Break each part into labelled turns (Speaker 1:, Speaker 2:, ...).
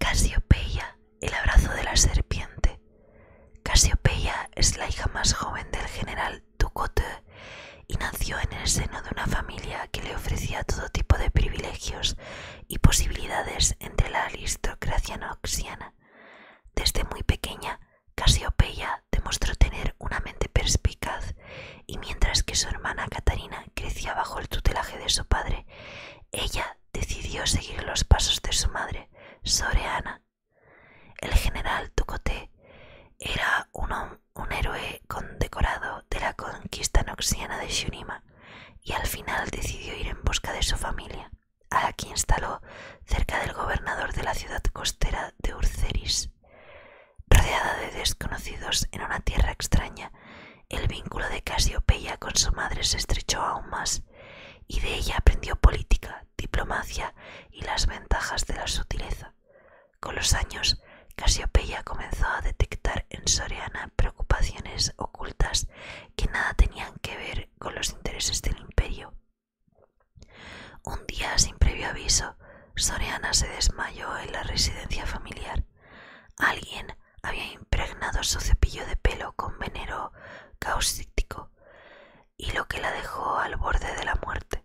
Speaker 1: Casiopeia, el abrazo de la serpiente. Casiopeia es la hija más joven del general Ducote y nació en el seno de una familia que le ofrecía todo tipo de privilegios y posibilidades entre la aristocracia noxiana. Desde muy pequeña, Casiopeia demostró tener una mente perspicaz y mientras que su hermana Catarina crecía bajo el tutelaje de su padre, ella decidió seguir los pasos de su madre, Soreana. El general Tucote era un héroe condecorado de la conquista noxiana de Shunima y al final decidió ir en busca de su familia, a la que instaló cerca del gobernador de la ciudad costera de Urceris. Rodeada de desconocidos en una tierra extraña, el vínculo de Casiopeia con su madre se estrechó aún más, y de ella aprendió política, diplomacia y las ventajas de la sutileza. Con los años, Casiopeia comenzó a detectar en Soriana preocupaciones ocultas que nada tenían que ver con los intereses del imperio. Un día, sin previo aviso, Soriana se desmayó en la residencia familiar. Alguien había impregnado su cepillo de pelo con veneno cáustico y lo que la dejó al borde de la muerte.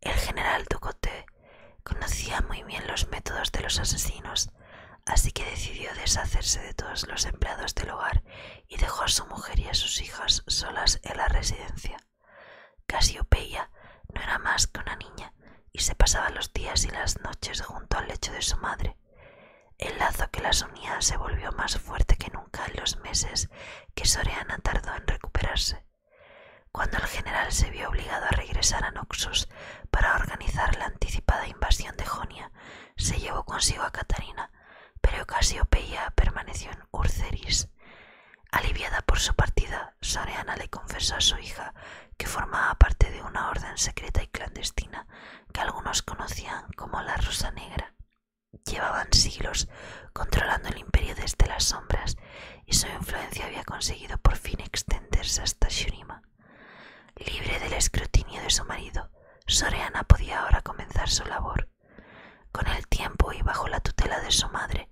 Speaker 1: El general Ducote. Conocía muy bien los métodos de los asesinos, así que decidió deshacerse de todos los empleados del hogar y dejó a su mujer y a sus hijas solas en la residencia. Casiopeia no era más que una niña y se pasaba los días y las noches junto al lecho de su madre. El lazo que las unía se volvió más fuerte que nunca en los meses que Soreana tardó en recuperarse. Cuando el general se vio obligado a regresar a Noxus para organizar la anticipada invasión de Jonia, se llevó consigo a Catarina, pero opeia permaneció en Urceris. Aliviada por su partida, Soreana le confesó a su hija que formaba parte de una orden secreta y clandestina que algunos conocían como la Rosa Negra. Llevaban siglos controlando el imperio desde las sombras y su influencia había conseguido por fin extenderse hasta Shunima. Libre del escrutinio de su marido, Soreana podía ahora comenzar su labor. Con el tiempo y bajo la tutela de su madre,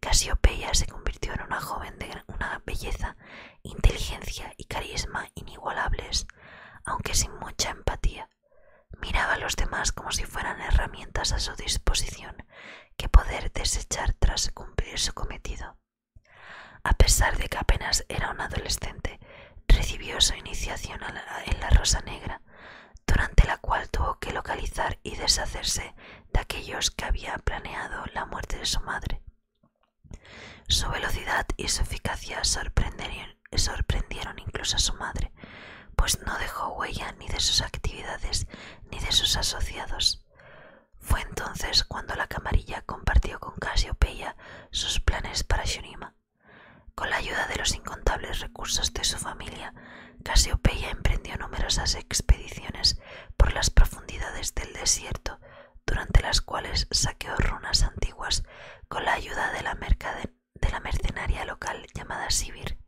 Speaker 1: Casiopeia se convirtió en una joven de una belleza, inteligencia y carisma inigualables, aunque sin mucha empatía. Miraba a los demás como si fueran herramientas a su disposición que poder desechar tras cumplir su cometido. A pesar de que apenas era un adolescente, recibió su iniciación en la Rosa Negra, durante la cual tuvo que localizar y deshacerse de aquellos que había planeado la muerte de su madre. Su velocidad y su eficacia sorprendieron incluso a su madre, pues no dejó huella ni de sus actividades ni de sus asociados. Fue entonces cuando la camarilla compartió con Casiopeya sus planes para Shunima. Con la ayuda de los incontables recursos de su familia, Cassiopeia emprendió numerosas expediciones por las profundidades del desierto, durante las cuales saqueó runas antiguas con la ayuda de la mercadería de la mercenaria local llamada Sibir.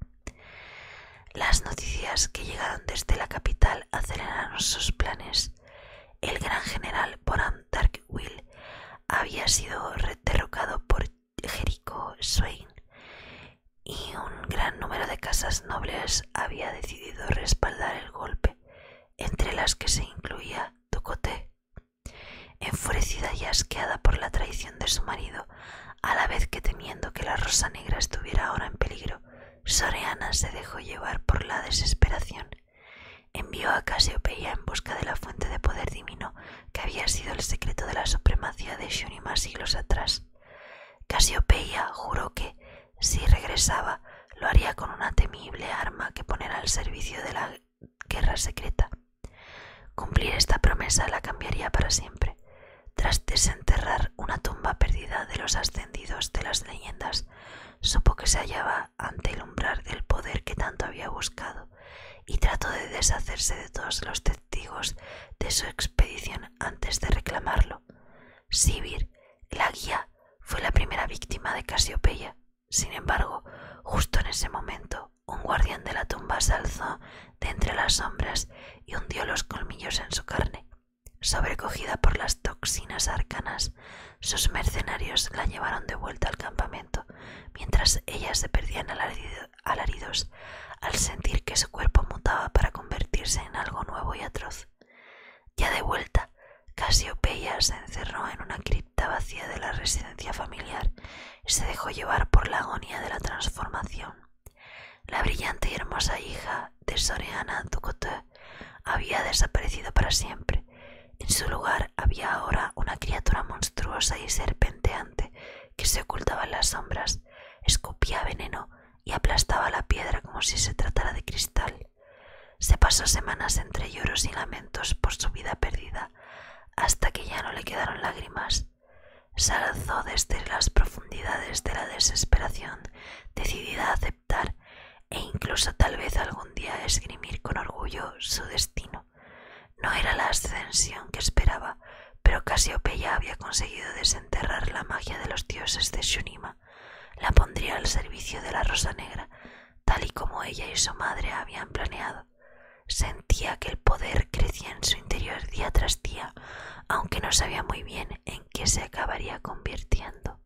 Speaker 1: Las noticias que llegaron desde la capital aceleraron sus planes. El gran general Boran Darkwill había sido derrocado por Jericho Swain y un gran número de casas nobles había decidido respaldar el golpe, entre las que se incluía enfurecida y asqueada por la traición de su marido, a la vez que temiendo que la rosa negra estuviera ahora en peligro, Soreana se dejó llevar por la desesperación. Envió a Casiopeia en busca de la fuente de poder divino que había sido el secreto de la supremacía de Shunima siglos atrás. Casiopeia juró que, si regresaba, lo haría con una temible arma que poner al servicio de la guerra secreta. Cumplir esta promesa la cambiaría para siempre. Tras desenterrar una tumba perdida de los ascendidos de las leyendas, supo que se hallaba ante el umbral del poder que tanto había buscado y trató de deshacerse de todos los testigos de su expedición antes de reclamarlo. Sibir, la guía, fue la primera víctima de Casiopeya sin embargo, justo en ese momento, un guardián de la tumba se alzó de entre las sombras y hundió los colmillos en su carne. Sobrecogida por las toxinas arcanas, sus mercenarios la llevaron de vuelta al campamento, mientras ella se perdían alaridos al sentir que su cuerpo mutaba para convertirse en algo nuevo y atroz. Ya de vuelta, Casiopeia se encerró en una cripta vacía de la residencia familiar y se dejó llevar por la agonía de la transformación. La brillante y hermosa hija de Soreana Ducote había desaparecido para siempre. En su lugar había ahora una criatura monstruosa y serpenteante que se ocultaba en las sombras, escupía veneno y aplastaba la piedra como si se tratara de cristal. Se pasó semanas entre lloros y lamentos por su vida perdida, hasta que ya no le quedaron lágrimas. Se desde las profundidades de la desesperación, decidida a aceptar e incluso tal vez algún día esgrimir con orgullo su destino. No era la ascensión que esperaba, pero Casiopeya había conseguido desenterrar la magia de los dioses de Shunima la pondría al servicio de la Rosa Negra, tal y como ella y su madre habían planeado. Sentía que el poder crecía en su interior día tras día, aunque no sabía muy bien en qué se acabaría convirtiendo.